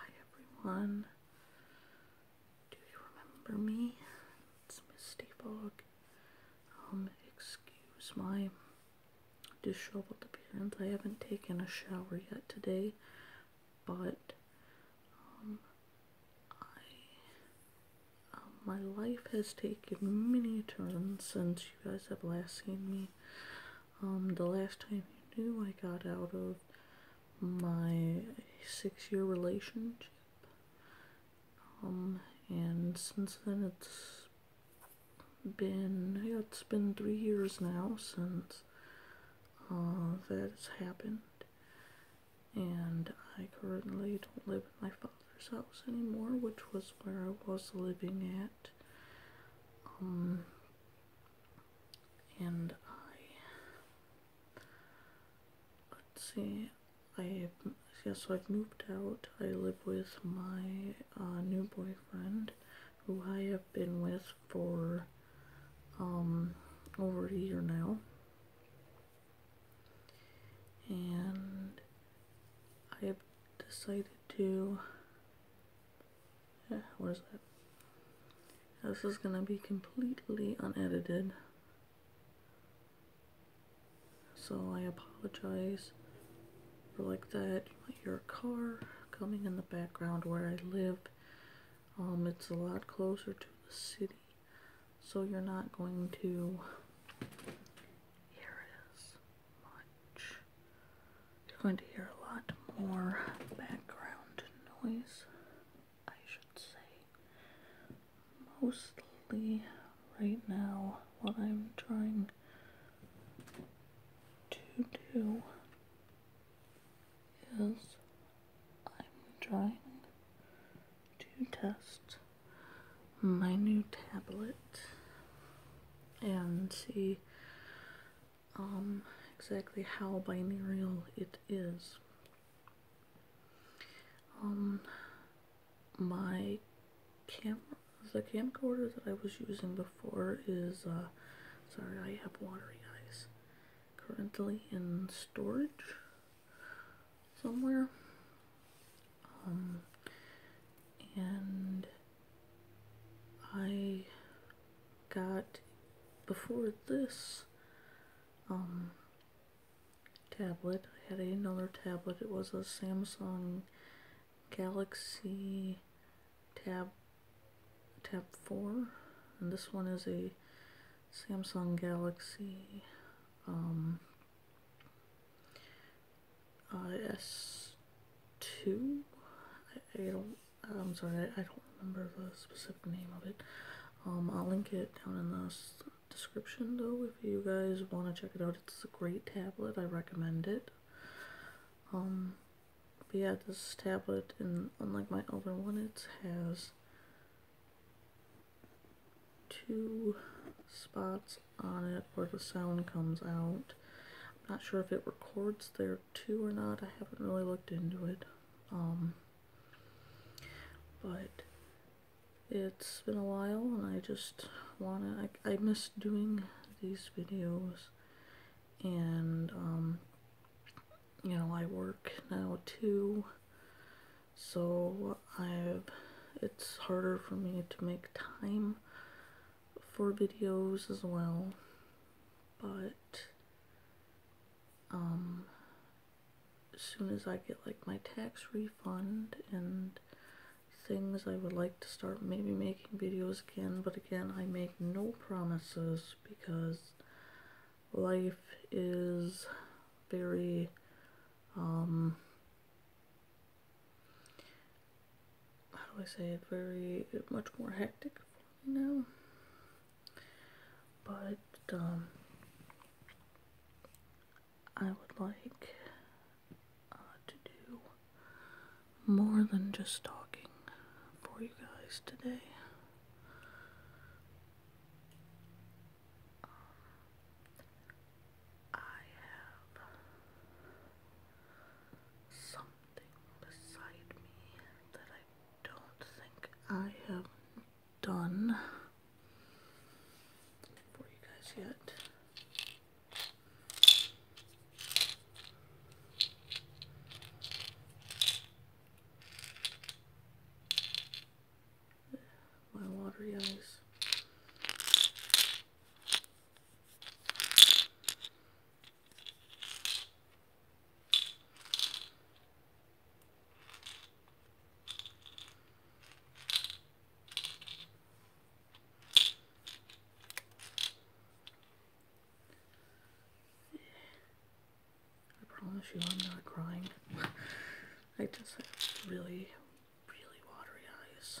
Hi everyone. Do you remember me? It's Misty Bog. Um, excuse my disheveled appearance. I haven't taken a shower yet today, but um, um, my life has taken many turns since you guys have last seen me. Um, the last time you knew, I got out of my six year relationship. Um, and since then, it's been, it's been three years now since uh, that's happened. And I currently don't live in my father's house anymore, which was where I was living at. Um, and I, let's see, I, yes, so I've moved out. I live with my uh, new boyfriend, who I have been with for, um, over a year now. And I have decided to yeah, what is that? This is gonna be completely unedited. So I apologize for like that. Your car coming in the background where I live. Um, it's a lot closer to the city. So you're not going to... Here it is. You're going to hear a lot more background noise, I should say. Mostly right now, what I'm trying to do is I'm trying to test my new tablet and see um, exactly how binaural it is. Um, my camera, the camcorder that I was using before is, uh, sorry, I have watery eyes, currently in storage somewhere. Um, and I got before this um, tablet, I had another tablet. It was a Samsung Galaxy Tab Tab 4, and this one is a Samsung Galaxy um, IS two. I, I don't. I'm sorry. I, I don't remember the specific name of it. Um, I'll link it down in the description though if you guys want to check it out. It's a great tablet. I recommend it. Um, but yeah, this tablet and unlike my other one, it has two spots on it where the sound comes out. I'm not sure if it records there too or not. I haven't really looked into it. Um, but it's been a while and I just wanna, I, I miss doing these videos and um, you know I work now too so I've it's harder for me to make time for videos as well but um as soon as I get like my tax refund and things I would like to start maybe making videos again but again I make no promises because life is very um how do I say it very much more hectic for me now but um, I would like uh, to do more than just talking for you guys today I have something beside me that I don't think I have done for you guys yet. My watery eyes. I promise you I'm not crying. I just have really, really watery eyes.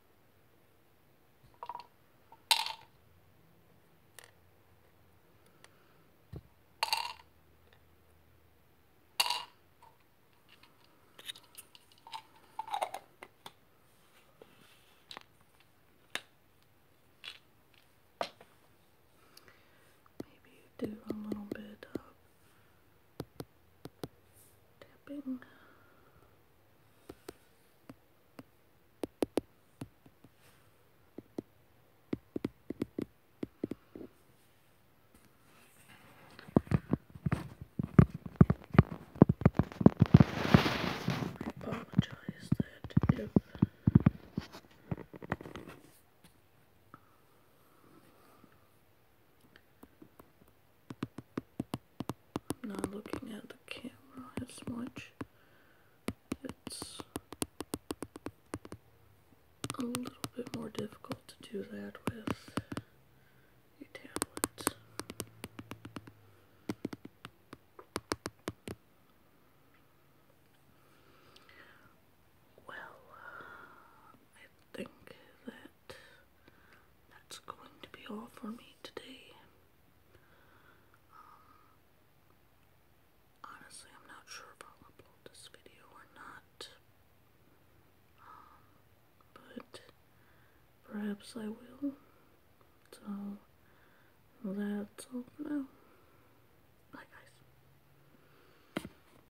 Maybe do a little bit of tapping. I apologize that if I'm not looking at the camera as much. It's a little bit more difficult to do that with a tablet. Well, I think that that's going to be all for me today. Um, honestly, I'm not sure if I'll upload this video or not. Um, but perhaps I will. So, that's all now. Bye, guys.